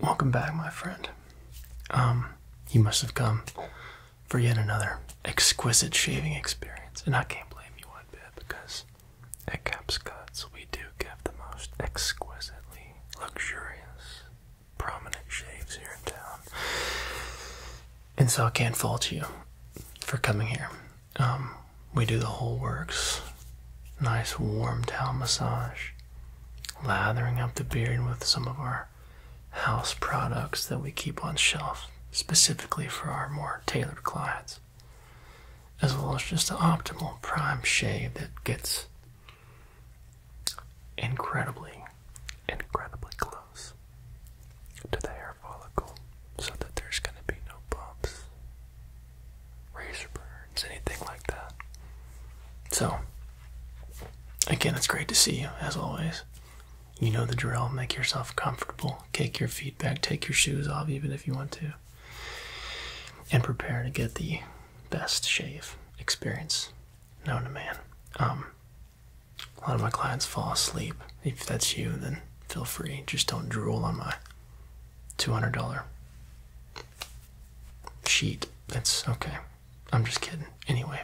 Welcome back, my friend. Um, you must have come for yet another exquisite shaving experience, and I can't blame you one bit because at Caps we do give the most exquisitely luxurious, prominent shaves here in town, and so I can't fault you for coming here. Um, we do the whole works. Nice warm towel massage, lathering up the beard with some of our house products that we keep on shelf specifically for our more tailored clients, as well as just the optimal prime shave that gets incredibly, incredibly close to the hair follicle so that there's going to be no bumps, razor burn. It's anything like that. So, again, it's great to see you, as always. You know the drill. Make yourself comfortable. Take your feet back. Take your shoes off, even if you want to. And prepare to get the best shave experience known to man. Um, a lot of my clients fall asleep. If that's you, then feel free. Just don't drool on my $200 sheet. That's okay. I'm just kidding. Anyway,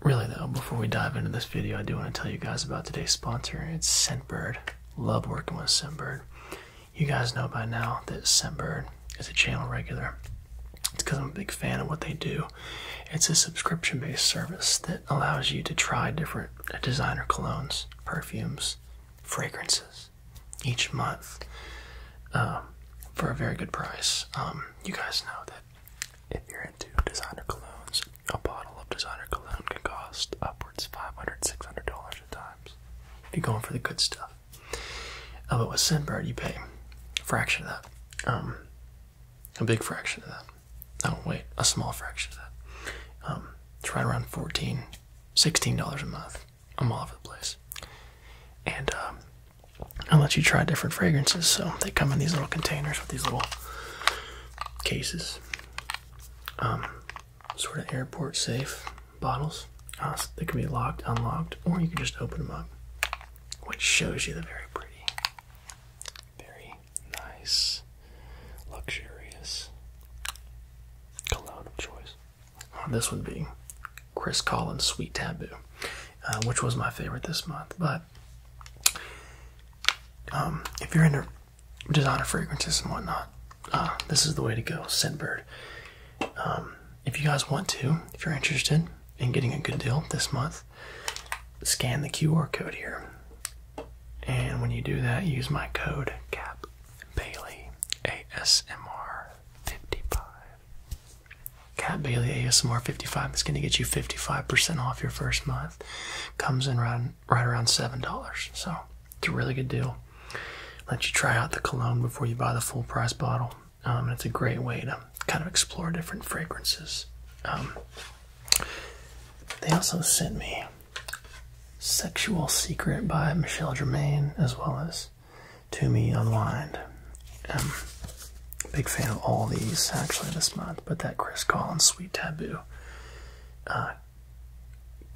really though, before we dive into this video, I do want to tell you guys about today's sponsor. It's Scentbird. Love working with Scentbird. You guys know by now that Scentbird is a channel regular. It's because I'm a big fan of what they do. It's a subscription based service that allows you to try different designer colognes, perfumes, fragrances each month um, for a very good price. Um, you guys know that if you're into designer colognes, a bottle of designer cologne can cost upwards $500, $600 at times. If you're going for the good stuff. Uh, but with Sinbird, you pay a fraction of that. Um, a big fraction of that. Oh, wait, a small fraction of that. Um, right around 14 $16 a month. I'm all over the place. And um, I'll let you try different fragrances. So they come in these little containers with these little cases, um, sort of airport safe bottles. Uh, that can be locked, unlocked, or you can just open them up, which shows you the very pretty, very nice, luxurious cologne of choice this would be Chris Collins' Sweet Taboo, uh, which was my favorite this month. But um, if you're into designer fragrances and whatnot, uh, this is the way to go, Scentbird. Um, if you guys want to, if you're interested in getting a good deal this month, scan the QR code here. And when you do that, use my code CAP Bailey ASMR 55 Cat Bailey ASMR 55 is going to get you 55% off your first month. Comes in right, right around $7. So it's a really good deal. Let you try out the cologne before you buy the full price bottle. Um, and it's a great way to kind of explore different fragrances. Um, they also sent me Sexual Secret by Michelle Germain as well as to me online. Um, big fan of all these actually this month, but that Chris Collins Sweet Taboo, uh,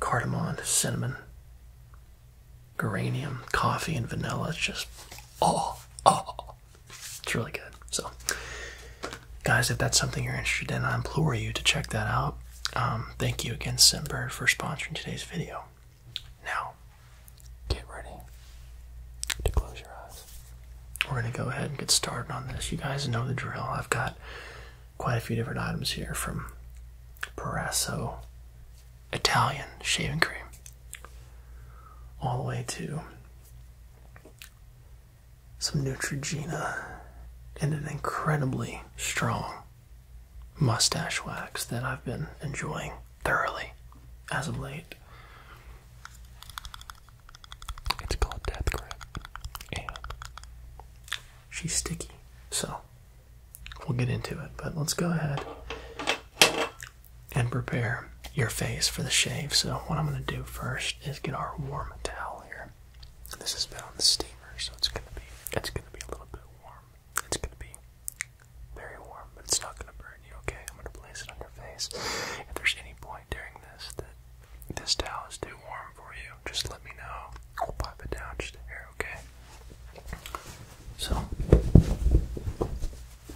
cardamom, cinnamon, geranium, coffee, and vanilla. It's just oh oh, it's really good. So, guys, if that's something you're interested in, I implore you to check that out. Um, thank you again, Simbird, for sponsoring today's video. Now, get ready to close your eyes. We're going to go ahead and get started on this. You guys know the drill. I've got quite a few different items here from Parasso Italian shaving cream all the way to some Neutrogena and an incredibly strong mustache wax that I've been enjoying thoroughly as of late. It's called Death Grip, and she's sticky, so we'll get into it. But let's go ahead and prepare your face for the shave. So, what I'm going to do first is get our warm towel here. This has been on the steamer, so it's going to be it's going to be a little bit warm. It's going to be very warm, but it's not gonna burn you, okay? I'm gonna place it on your face. If there's any point during this that this towel is too warm for you, just let me know. I'll pop it down just here, okay? So,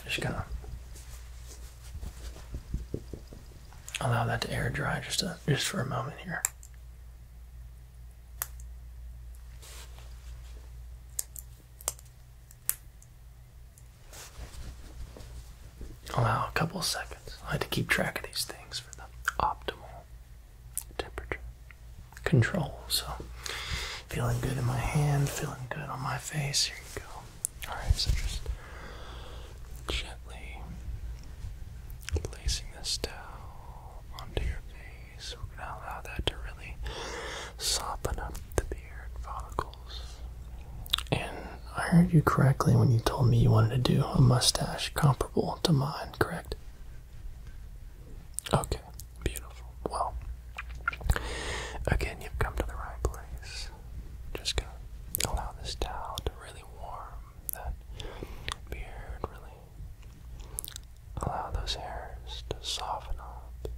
just gonna allow that to air dry just just for a moment here. Allow a couple seconds. I had to keep track of these things for the optimal temperature control. So, feeling good in my hand, feeling good on my face. Here you go. Alright, so just gently placing this towel onto your face. So We're going to allow that to really soften up the beard follicles. And I heard you correctly when you told me you wanted to do a mustache comparable to mine, correct? Okay, beautiful. Well, again, you've come to the right place. Just gonna allow this towel to really warm that beard, really Allow those hairs to soften up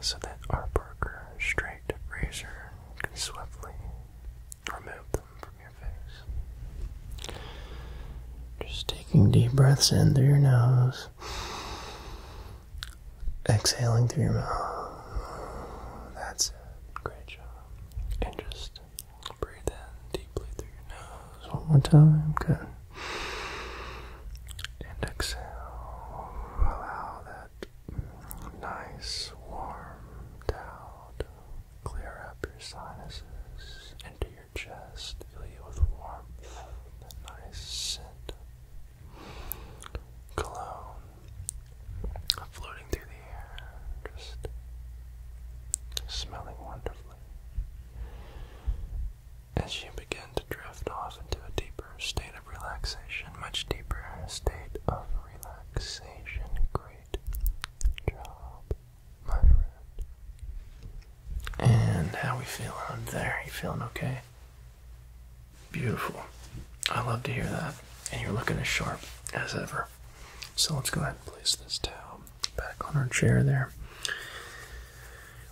so that our Parker straight razor can swiftly remove them from your face. Just taking deep breaths in through your nose, exhaling through your mouth. That's it. Great job. And just breathe in deeply through your nose one more time. Good. And exhale, allow that nice warm towel clear up your sinuses into your chest, fill you with warmth, that nice scent cologne floating through the air, just smelling wonderfully. As she began to drift off into a deeper state of relaxation, much deeper state of relaxation. Great job, my friend. And how are we feeling out there? You feeling okay? Beautiful. I love to hear that. And you're looking as sharp as ever. So let's go ahead and place this towel back on our chair there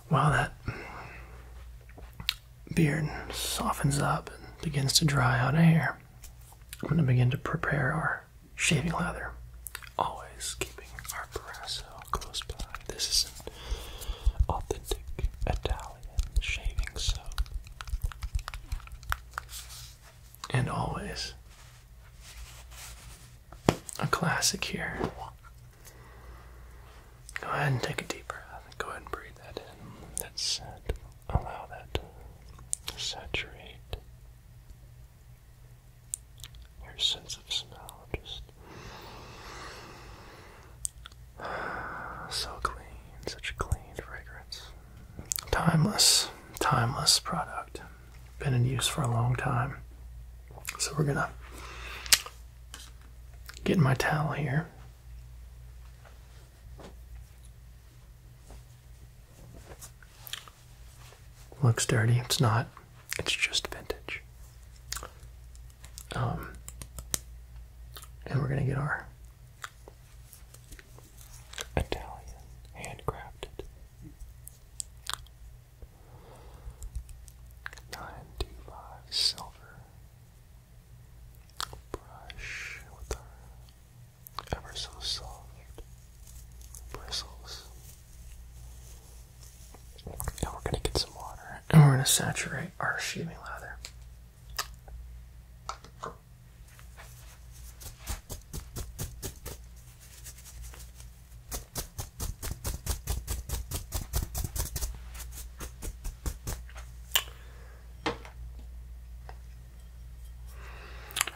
while that beard softens up and begins to dry out hair, I'm going to begin to prepare our shaving lather. Always keeping our Parasso close by. This is an authentic Italian shaving soap. And always a classic here Go ahead and take a deep breath. Go ahead and breathe that in. That's it. Allow that to saturate your sense of smell. Just so clean, such a clean fragrance. Timeless, timeless product. Been in use for a long time. So we're gonna Getting my towel here. Looks dirty. It's not. It's just vintage. Um, and we're gonna get our Italian handcrafted 925 silver brush with our ever so soft bristles. And we're going to get some water and we're going to saturate our sheathing lather.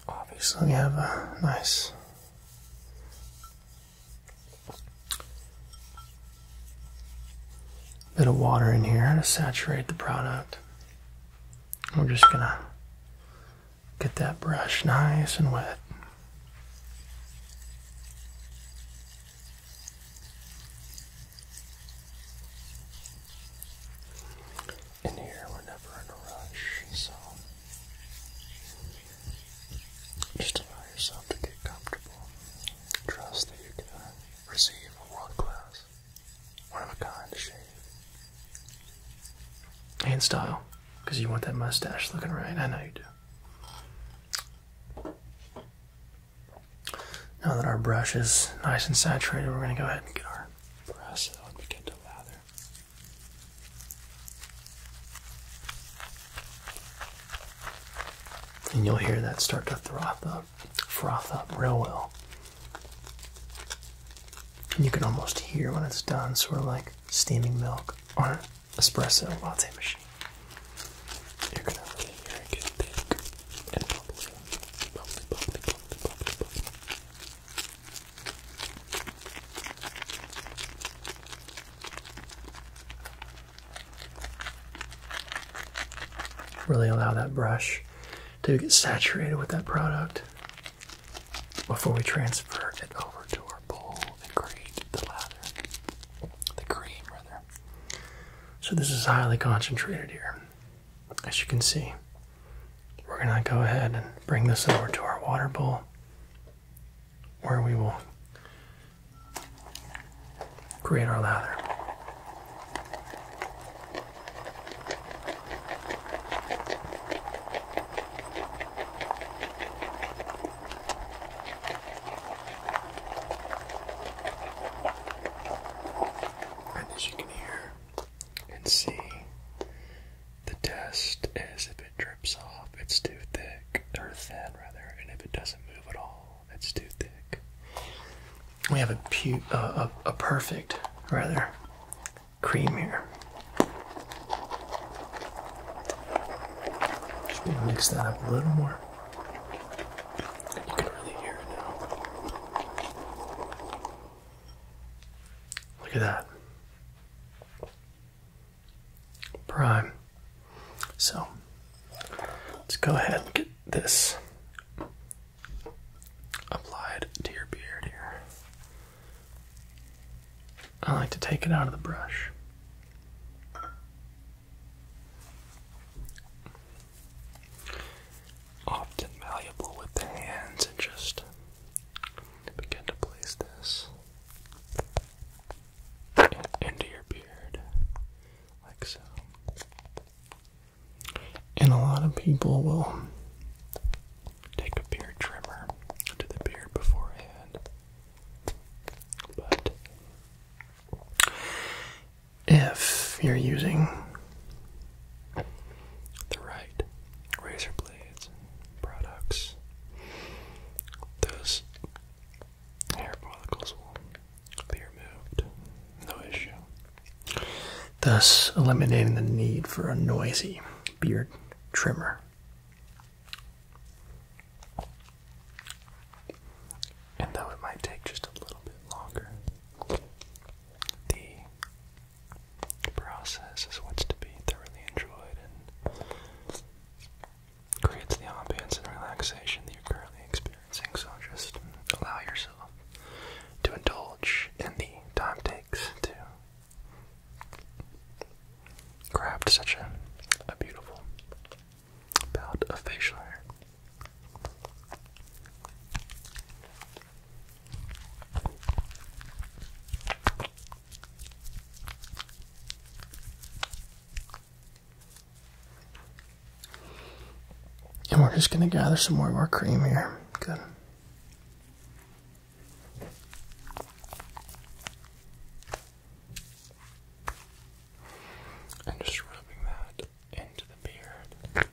Obviously, we have a nice bit of water in here to saturate the product. We're just gonna get that brush nice and wet. In here, we're never in a rush, so just allow yourself to get comfortable. Trust that you're receive world-class, one-of-a-kind shave and style, because you want that mustache looking right. I know you do. Now that our brush is nice and saturated, we're going to go ahead and get our brush out and begin to lather. And you'll hear that start to froth up, froth up real well. And you can almost hear when it's done, sort of like steaming milk on it espresso latte machine. Really allow that brush to get saturated with that product before we transfer it over to our bowl and create the lather, the cream rather. So this is highly concentrated here. As you can see, we're gonna go ahead and bring this over to our water bowl where we will create our lather. And as you can hear and see, the test is if it drips off, it's too thick, or thin rather, and if it doesn't move at all, it's too thick. We have a, pu a, a perfect, rather, cream here. Just going mix that up a little more. You can really hear it now. Look at that. Prime. So, let's go ahead and get this applied to your beard here. I like to take it out of the brush. Often malleable with the hands, and just begin to place this into your beard, like so. And a lot of people will take a beard trimmer to the beard beforehand, but if you're using the right razor blades products, those hair follicles will be removed, no issue, thus eliminating the need for a noisy beard trimmer. And though it might take just a little bit longer, the process is what's to be thoroughly enjoyed and creates the ambience and relaxation that you're currently experiencing. So just allow yourself to indulge in the time takes to craft such a beautiful about a facial hair. And we're just going to gather some more of our cream here. Good and just rubbing that into the beard.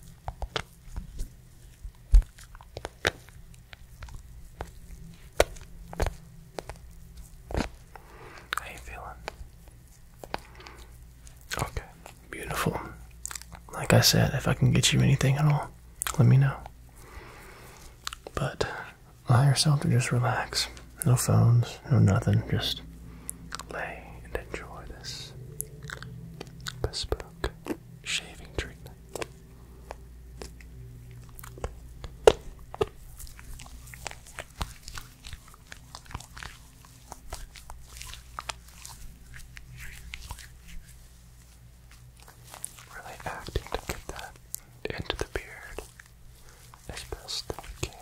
How you feeling? Okay, beautiful. Like I said, if I can get you anything at all, let me know. But allow yourself to just relax. No phones, no nothing. Just lay and enjoy this bespoke shaving treatment. Really acting to get that into the beard as best we can.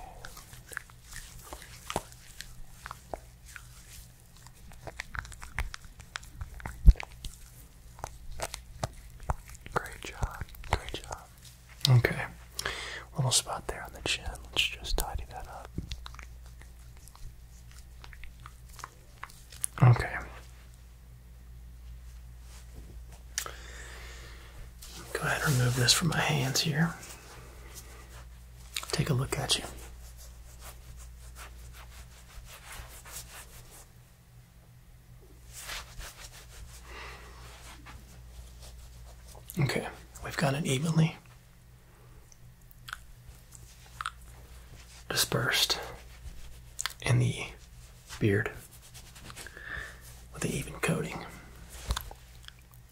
Great job, great job. Okay, little spot there on the chin. Let's just tidy that up. Okay. Go ahead and remove this from my hands here take a look at you. Okay, we've got it evenly dispersed in the beard with the even coating.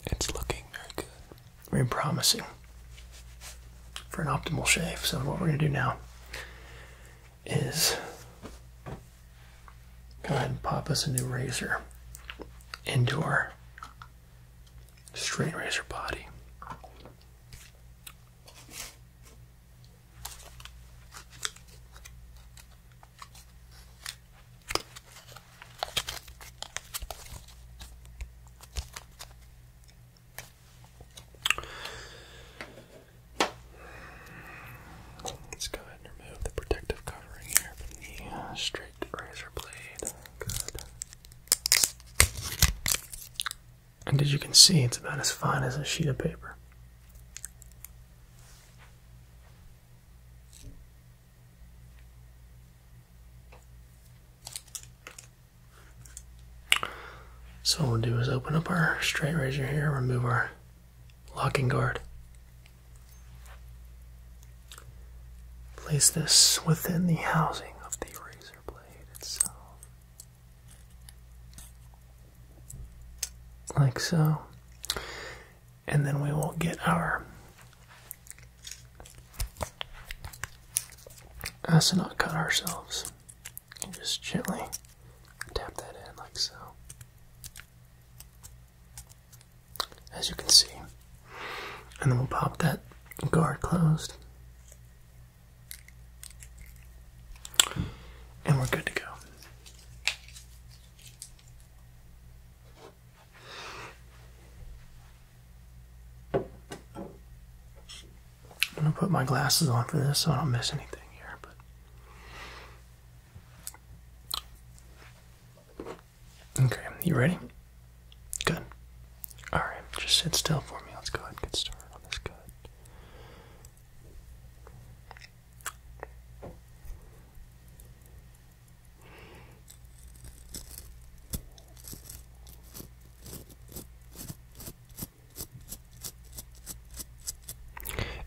It's looking very good. Very promising for an optimal shave. So, what we're going to do now is go ahead and pop us a new razor into our straight razor body. Let's go ahead and remove the protective covering here from the uh, straight razor blade. And as you can see, it's about as fine as a sheet of paper. So what we'll do is open up our straight razor here, remove our locking guard. Place this within the housing of the razor blade itself. Like so and then we will get our us not cut ourselves and just gently tap that in like so as you can see and then we'll pop that guard closed and we're good to go I'm gonna put my glasses on for this so I don't miss anything here, but Okay, you ready? Good. Alright, just sit still for me. Let's go ahead and get started on this good.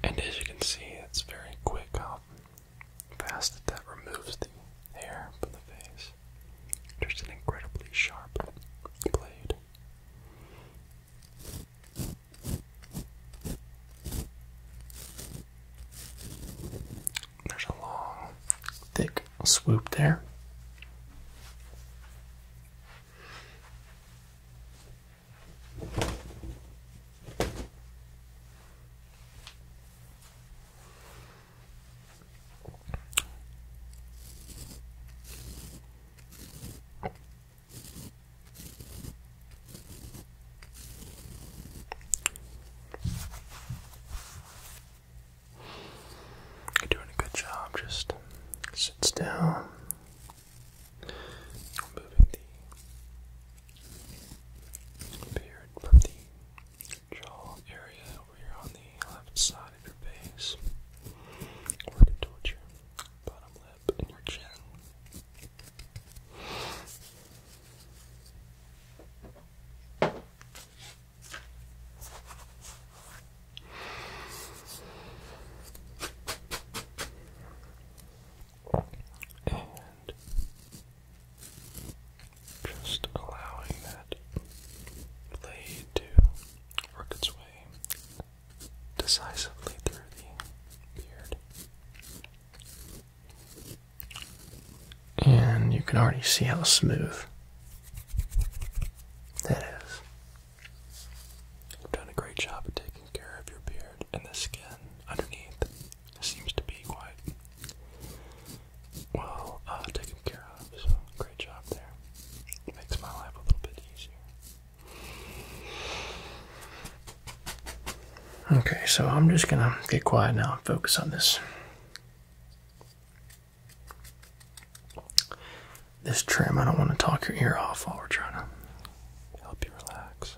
And as you can see, it's very quick how fast that, removes the hair from the face. Just an incredibly sharp blade. There's a long, thick swoop there. You're doing a good job. Just sits down. Moving the beard from the jaw area over here on the left side of your face. Working towards your bottom lip and your chin. And just allowing that blade to work its way decisively through the beard. And you can already see how smooth that is. You've done a great job of taking care of your beard, and the skin underneath seems to be quite well uh, taken care of. So, great job there. makes my life a little bit easier. Okay, so I'm just gonna get quiet now and focus on this this trim, I don't want to talk your ear off while we're trying to help you relax.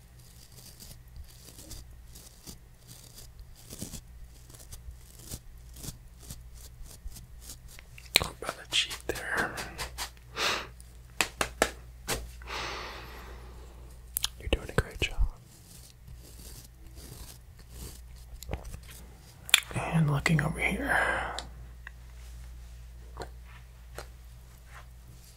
about to cheat there. You're doing a great job. And looking over here.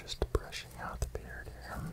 Just brushing out the beard here. And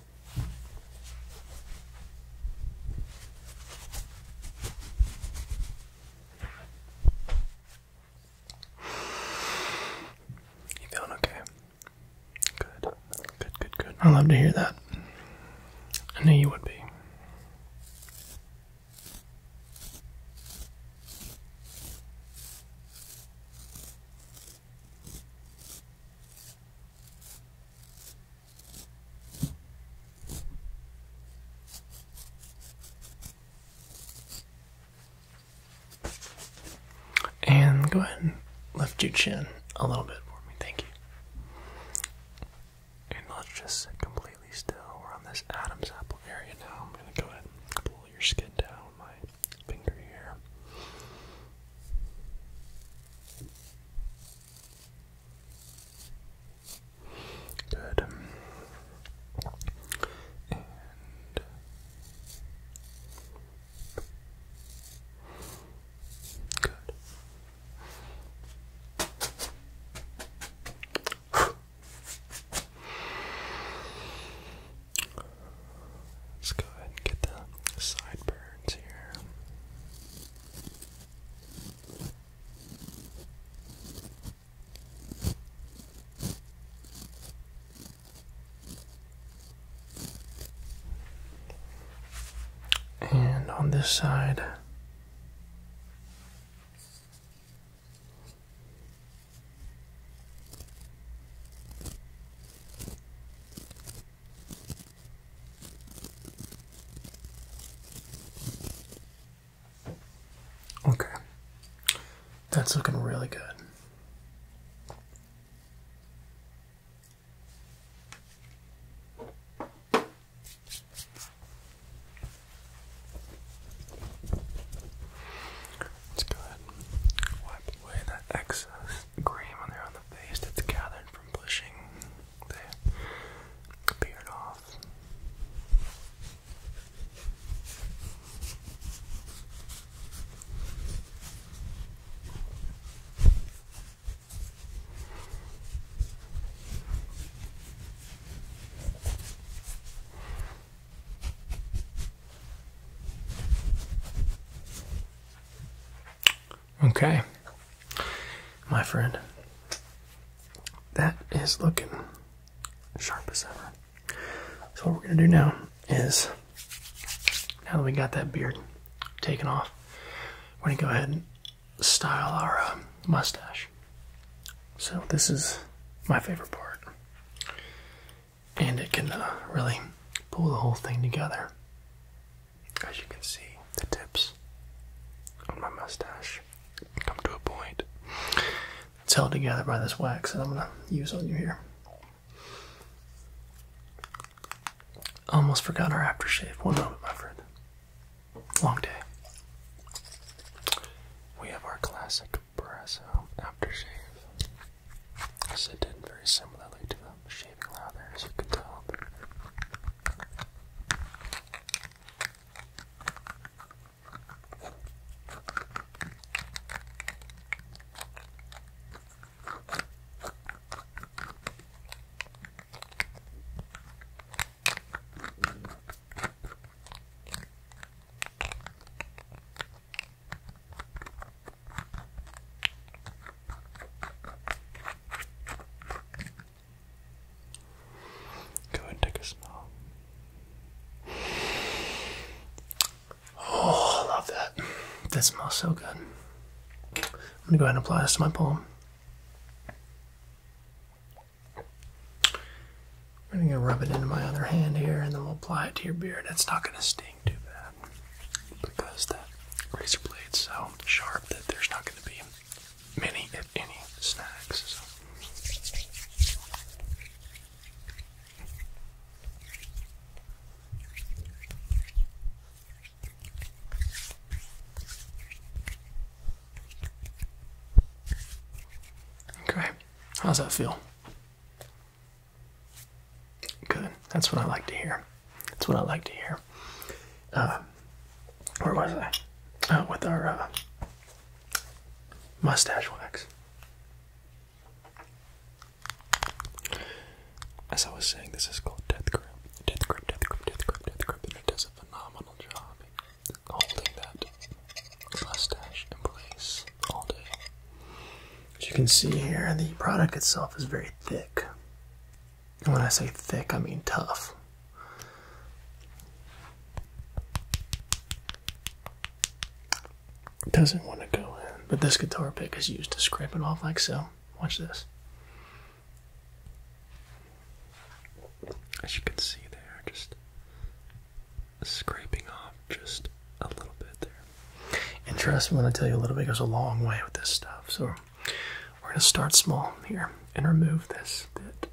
You feeling okay? Good. Good, good, good. I love to hear that. I knew you would be. And go ahead and lift your chin a little bit for me. Thank you. And let's just sit completely still. We're on this Adam's apple area now. I'm going to go ahead and pull your skin down with my finger here. Good. good. Let's go ahead and get the sideburns here. And on this side, Okay. That's looking really good. Let's go ahead wipe away that excess cream there on the face that's gathered from pushing the beard off. Okay, my friend, that is looking sharp as ever. So, what we're going to do now is now that we got that beard taken off, we're going to go ahead and style our uh, mustache. So, this is my favorite part, and it can uh, really pull the whole thing together. As you can see, the tips on my mustache come to a point. It's held together by this wax that I'm gonna use on you here. Almost forgot our aftershave. One moment, my friend. Long day. We have our classic Brasso aftershave. Scented very similarly to the shaving lather, as you can tell. Go and take a smell. Oh, I love that. That smells so good. I'm gonna go ahead and apply this to my palm. We're gonna rub it into my other hand here, and then we'll apply it to your beard. It's not gonna sting too bad because that razor blade's so sharp that there's not gonna be many, if any, snacks. Okay. Great. How's that feel? Good. That's what I like to hear. That's what I like to hear. Uh, where was I? Oh, with our uh, mustache wax. As I was saying, this is called Death Grip. Death Grip, Death Grip, Death Grip, Death Grip, and it does a phenomenal job holding that mustache in place all day. As you can see here, the product itself is very thick. And when I say thick, I mean tough. doesn't want to go in, but this guitar pick is used to scrape it off like so. Watch this. As you can see there, just scraping off just a little bit there. And trust me when I tell you a little bit goes a long way with this stuff. So we're going to start small here and remove this bit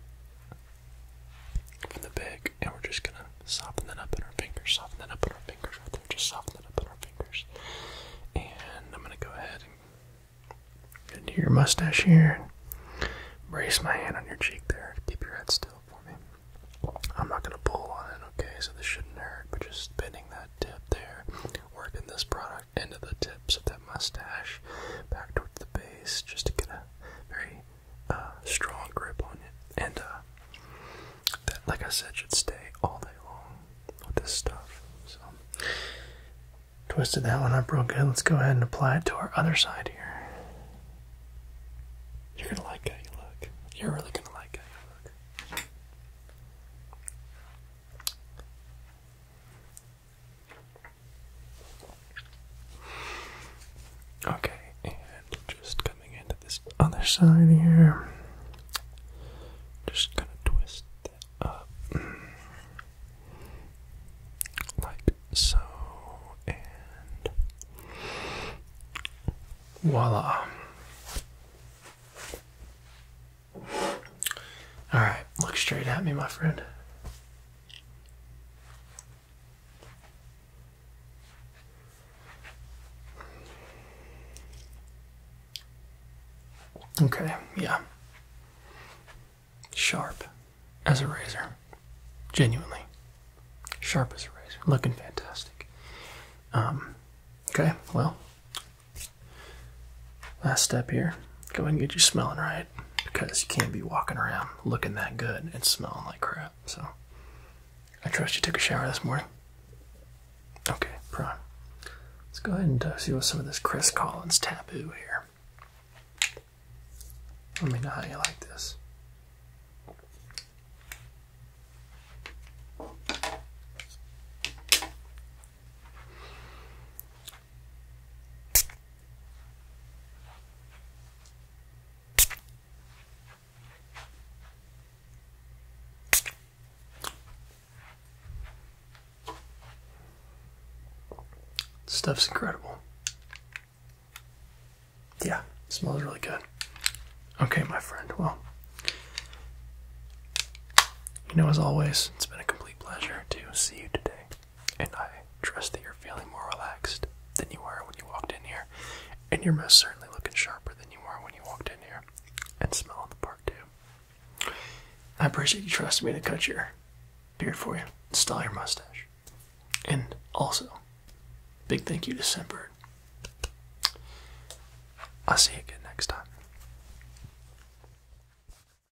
from the big, and we're just going to soften that up in our fingers, soften that up in our fingers right there, just soften that up in our fingers. And I'm going to go ahead and into your mustache here. Brace my hand on your cheek there. Keep your head still for me. I'm not going to pull on it, okay? So this shouldn't hurt, but just bending that tip there, working this product front end of the tips of that mustache back towards the base just to get a very uh, strong grip on it. And uh, that, like I said, should stay all day long with this stuff. So, twisted that one up real good. Let's go ahead and apply it to our other side here. You're gonna like how you look. You're really gonna like how you look. Okay, and just coming into this other side here. Just gonna twist that up. Like so, and voila. All right, look straight at me, my friend. Okay, yeah. Sharp as a razor. Genuinely. Sharp as a razor. Looking fantastic. Um, okay, well, Last step here. Go ahead and get you smelling right because you can't be walking around looking that good and smelling like crap. So I trust you took a shower this morning. Okay, prime. Let's go ahead and uh, see what some of this Chris Collins taboo here. Let me know how you like this. Stuff's incredible. Yeah, smells really good. Okay, my friend. Well, you know, as always, it's been a complete pleasure to see you today and I trust that you're feeling more relaxed than you were when you walked in here, and you're most certainly looking sharper than you were when you walked in here, and smelling the part too. I appreciate you trusting me to cut your beard for you, install your mustache, and also, big thank you to Simperd. I'll see you again next time.